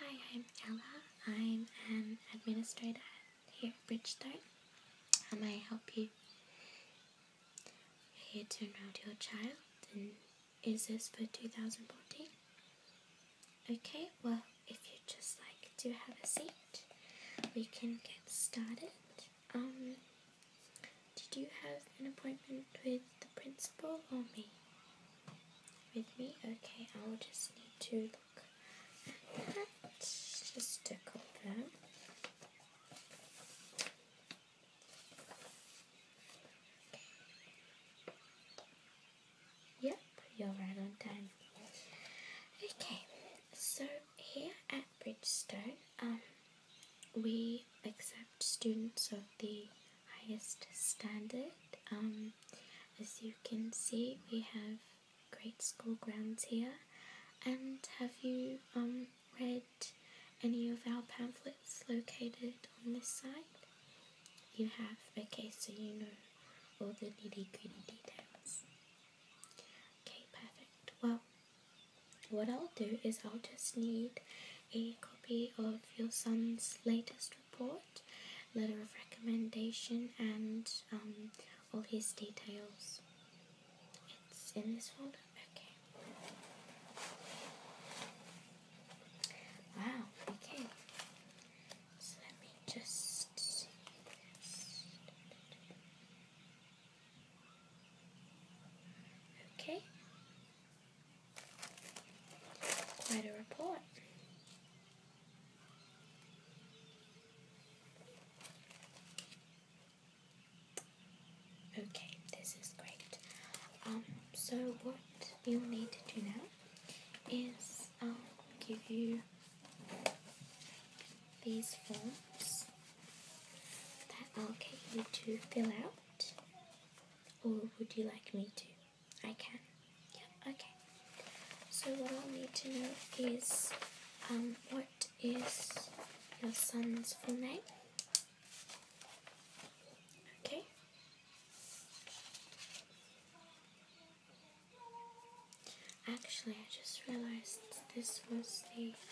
Hi, I'm Ella. I'm an administrator here at Bridgestone, may I help you here to enroll your child. And is this for 2014? Okay, well, if you would just like to have a seat, we can get started. Um, did you have an appointment with the principal or me? with me. Okay, I'll just need to look at that just to confirm. Yep, you're right on time. Okay, so here at Bridgestone, um, we accept students of the highest standard. Um, as you can see, we have great school grounds here. And have you um, read any of our pamphlets located on this side? You have? Okay, so you know all the nitty gritty details. Okay, perfect. Well, what I'll do is I'll just need a copy of your son's latest report, letter of recommendation, and um, all his details. It's in this folder. Okay. Wow. Okay. let me just Okay. Quite a report. Okay, this is great. Um, so what you'll need to do now is I'll um, give you these forms that I'll get you to fill out or would you like me to? I can. Yeah, okay. So what I'll need to know is um, what is your son's full name? Okay. Actually, I just realized this was the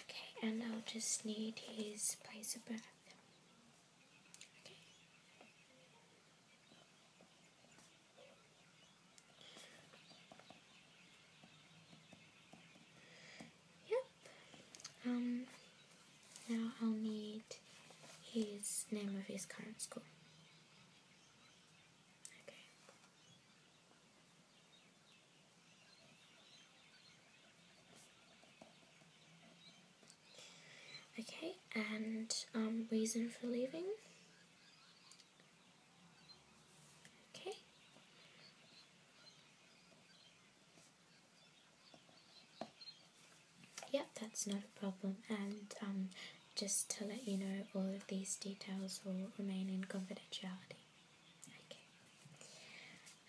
Okay, and I'll just need his place of birth. Yep. Um. Now I'll need his name of his current school. Okay, and um, reason for leaving. Okay. Yep, that's not a problem. And um, just to let you know, all of these details will remain in confidentiality.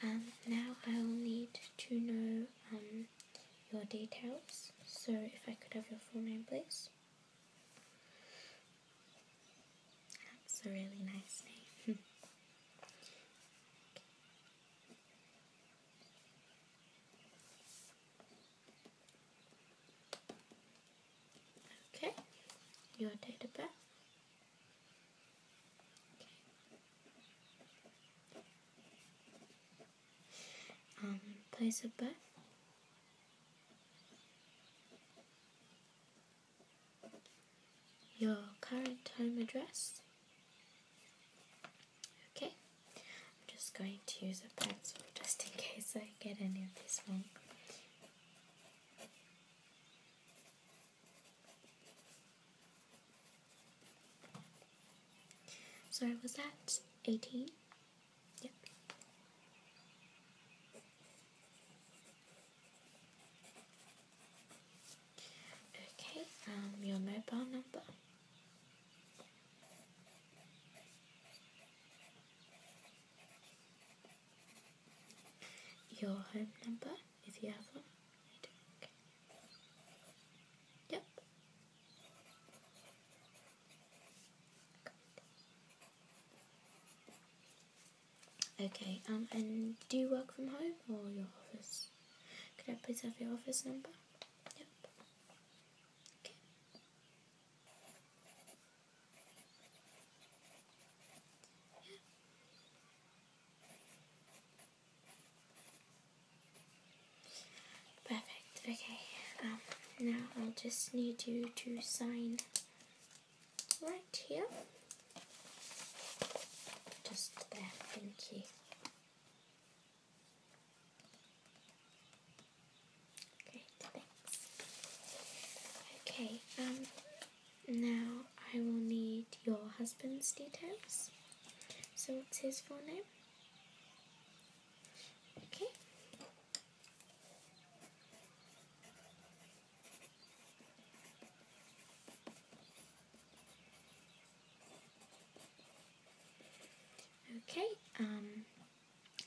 Um, now I will need to know um, your details. So if I could have your full name, please. That's a really nice name. Okay, your date of birth. Okay. Um, place of birth. Your current home address. Okay, I'm just going to use a pencil just in case I get any of this wrong. Sorry, was that 18? Yep. Okay, um, your mobile number your home number if you have one. Okay. Yep. Okay, um, and do you work from home or your office? Could I please have your office number? Yep. Okay. Perfect. Okay. Um, now I'll just need you to sign right here. Just there. Thank you. Great, thanks. Okay, um, now I will need your husband's details. So, what's his full name? Okay. Okay, um,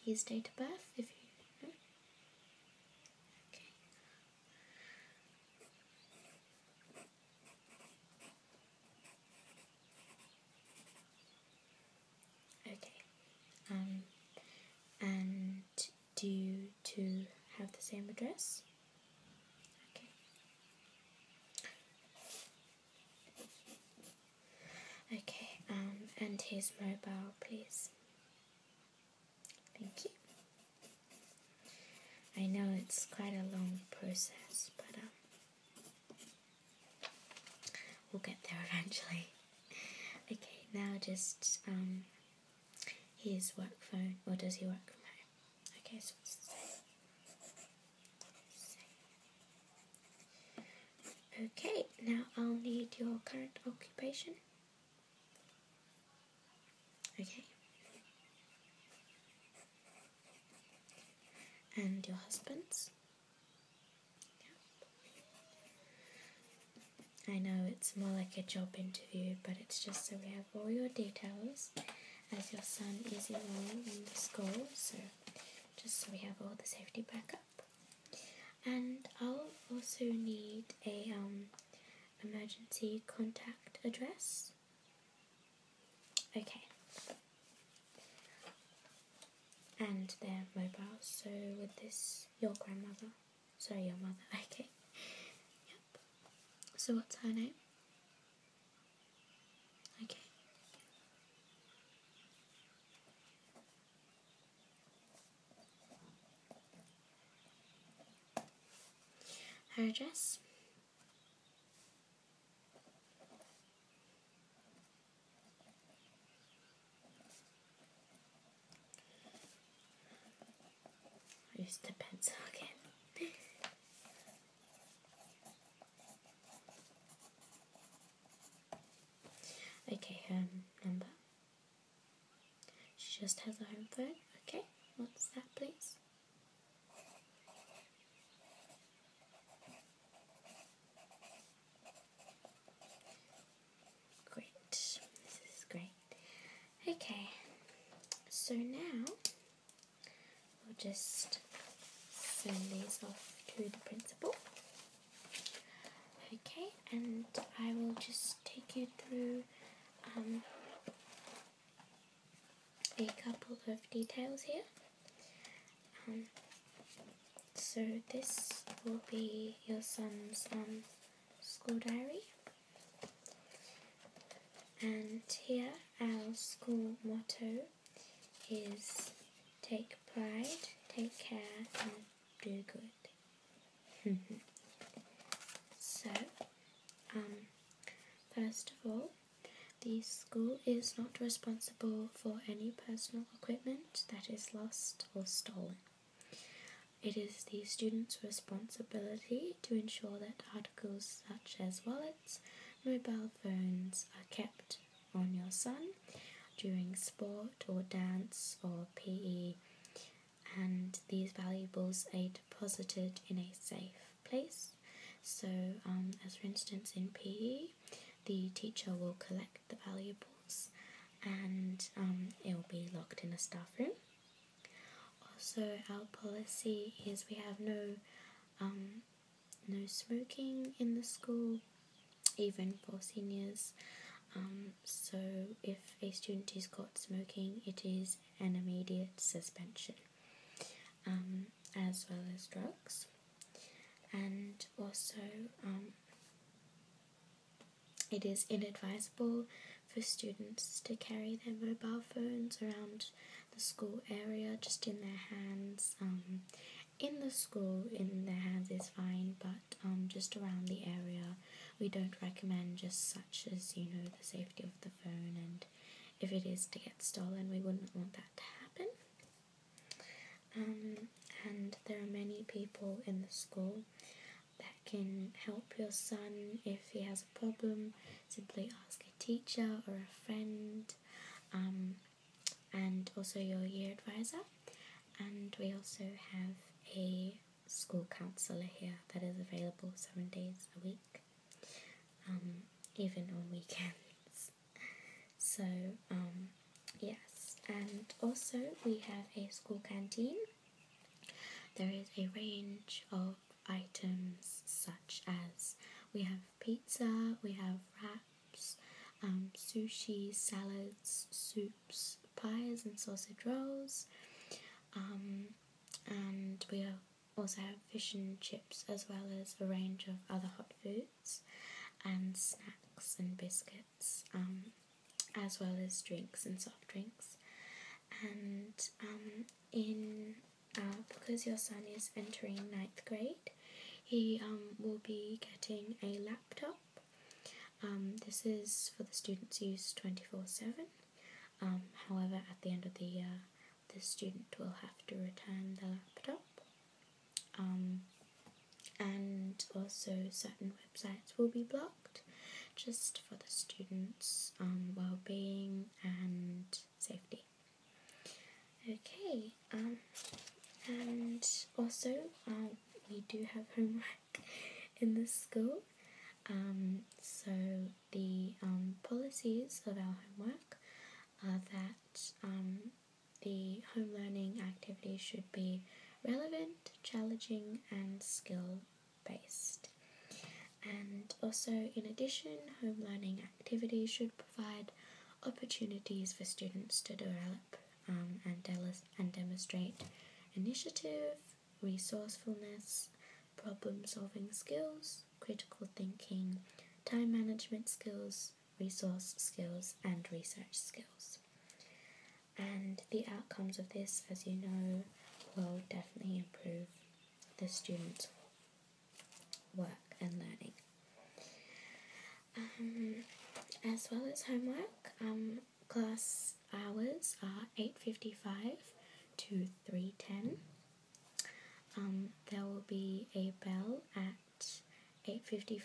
his date of birth, if you Okay. Okay. Um, and do you two have the same address? Okay, um, and his mobile, please. Thank you. I know it's quite a long process, but um, we'll get there eventually. okay, now just um, his work phone, or does he work from home? Okay, Okay, now I'll need your current occupation. Okay. And your husband's. I know it's more like a job interview, but it's just so we have all your details as your son is in school, so just so we have all the safety backup. And I'll also need a um, emergency contact address. Okay. And their mobile, so with this, your grandmother. So your mother. Okay. Yep. So what's her name? Okay. Her I Use the pencil again. Okay, her number. She just has a home phone. Okay, what's that, please? Great, this is great. Okay, so now I'll just send these off to the principal. Okay, and I will just take you through um, a couple of details here. Um, so this will be your son's um, school diary. And here our school motto is take pride, take care, and do good. so, um, first of all, the school is not responsible for any personal equipment that is lost or stolen. It is the student's responsibility to ensure that articles such as wallets, mobile phones are kept on your son during sport or dance or PE, and these valuables are deposited in a safe place. So, um, as for instance, in PE, the teacher will collect the valuables and um, it will be locked in a staff room. Also, our policy is we have no um, no smoking in the school, even for seniors. Um, so, if a student is caught smoking, it is an immediate suspension, um, as well as drugs. And also, um, it is inadvisable for students to carry their mobile phones around the school area just in their hands. Um, in the school, in their hands is fine, but um, just around the area, we don't recommend just such as, you know, the safety of the phone, and if it is to get stolen, we wouldn't want that to happen. Um, and there are many people in the school that can help your son if he has a problem. Simply ask a teacher or a friend um, and also your year advisor. And we also have a school counsellor here that is available seven days a week, um, even on weekends. So, um, yes, and also we have a school canteen. There is a range of items such as we have pizza, we have wraps, um, sushi, salads, soups, pies, and sausage rolls. Um, and we also have fish and chips, as well as a range of other hot foods and snacks and biscuits, um, as well as drinks and soft drinks. And in uh, because your son is entering ninth grade, he um, will be getting a laptop. Um, this is for the students' use 24 7. Um, however, at the end of the year, the student will have to return the laptop. Um, and also, certain websites will be blocked just for the students' um, well being and safety. Okay, um, and also uh, we do have homework in this school. Um, so the um, policies of our homework are that um, the home learning activities should be relevant, challenging, and skill based. And also, in addition, home learning activities should provide opportunities for students to develop um, and, de- and demonstrate initiative, resourcefulness, problem solving skills, critical thinking, time management skills, resource skills, and research skills. And the outcomes of this, as you know, will definitely improve the students' work and learning. Um, as well as homework, um, class hours are 8.55 to 3.10. Um, there will be a bell at 8.55,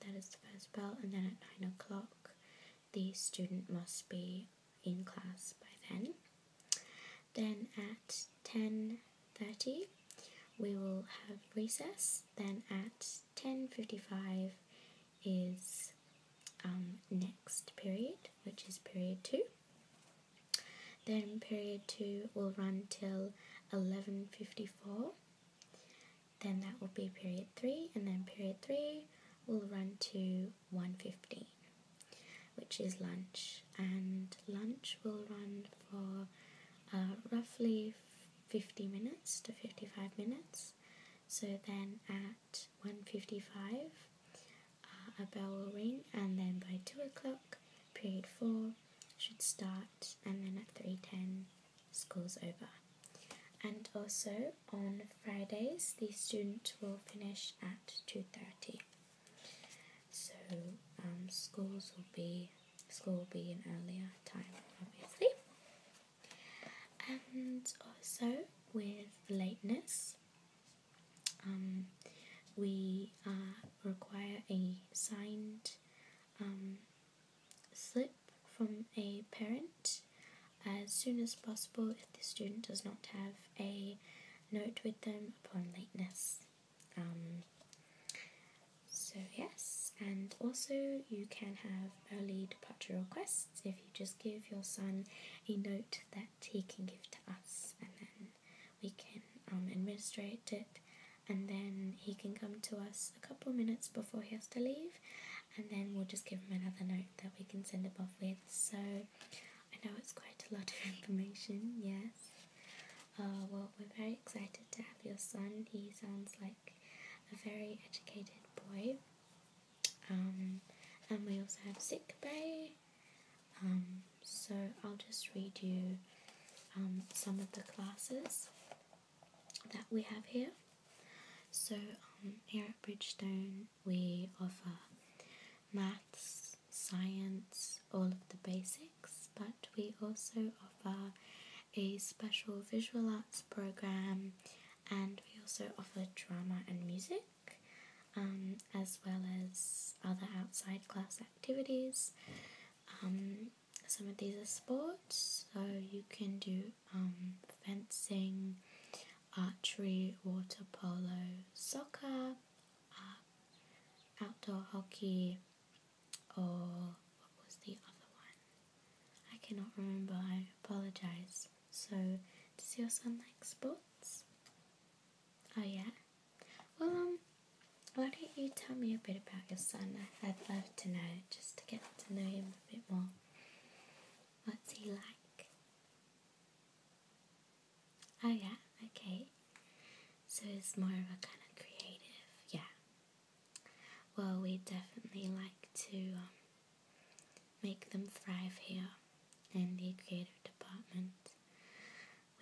that is the first bell, and then at 9 o'clock the student must be in class by then. Then at 10.30 we will have recess. Then at 10.55 is um, next period, which is period 2. Then period 2 will run till 11.54. Then that will be period 3. And then period 3 will run to 1.15 which is lunch, and lunch will run for uh, roughly 50 minutes to 55 minutes. So then at 1.55 uh, a bell will ring and then by 2 o'clock period 4 should start and then at 3.10 school's over. And also on Fridays, the student will finish at 2.30. So um, schools will be, school will be an earlier time, obviously. And also with lateness, um, we uh, require a signed um, slip from a parent as soon as possible if the student does not have a note with them upon lateness. Um, so, yes, and also you can have early departure requests if you just give your son a note that he can give to us and then we can um, administrate it and then he can come to us a couple minutes before he has to leave and then we'll just give him another note that we can send above with. So I know it's quite a lot of information, yes. Uh, well, we're very excited to have your son. He sounds like a very educated boy. Um, and we also have sick bay. Um, so I'll just read you um, some of the classes that we have here. So here at Bridgestone, we offer uh, maths, science, all of the basics, but we also offer a special visual arts program and we also offer drama and music. Um, as well as other outside class activities. Um, some of these are sports, so you can do um, fencing, archery, water polo, soccer, uh, outdoor hockey, or what was the other one? I cannot remember, I apologise. So, does your son like sports? Oh, yeah? Well, um, why don't you tell me a bit about your son? I'd love to know, just to get to know him a bit more. What's he like? Oh, yeah, okay. So it's more of a kind of creative, yeah. Well, we definitely like to um, make them thrive here in the creative department.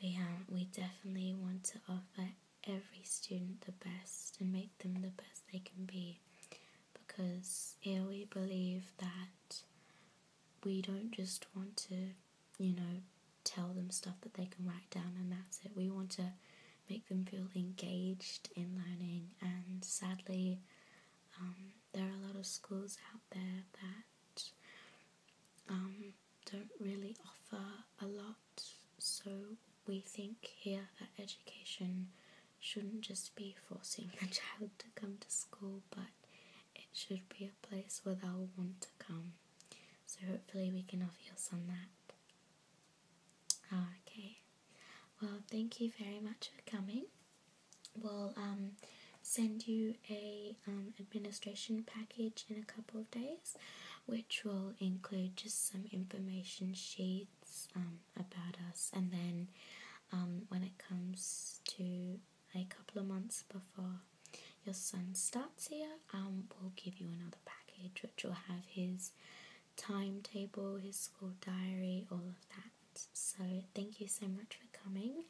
We, um, we definitely want to offer every student the best and make them the best they can be because here we believe that we don't just want to, you know, tell them stuff that they can write down and that's it. We want to make them feel engaged in learning, and sadly, um, there are a lot of schools out there that um, don't really offer a lot. So, we think here that education shouldn't just be forcing the child to come to school, but it should be a place where they'll want to come. So hopefully we can offer you some that. Ah, okay. Well, thank you very much for coming. We'll um, send you a um, administration package in a couple of days, which will include just some information sheets, um, about us. And then um, when it comes to a couple of months before your son starts here, um, we'll give you another package which will have his timetable, his school diary, all of that. So thank you so much for coming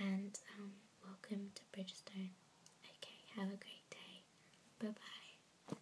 and um, welcome to Bridgestone. Okay, have a great day. Bye bye.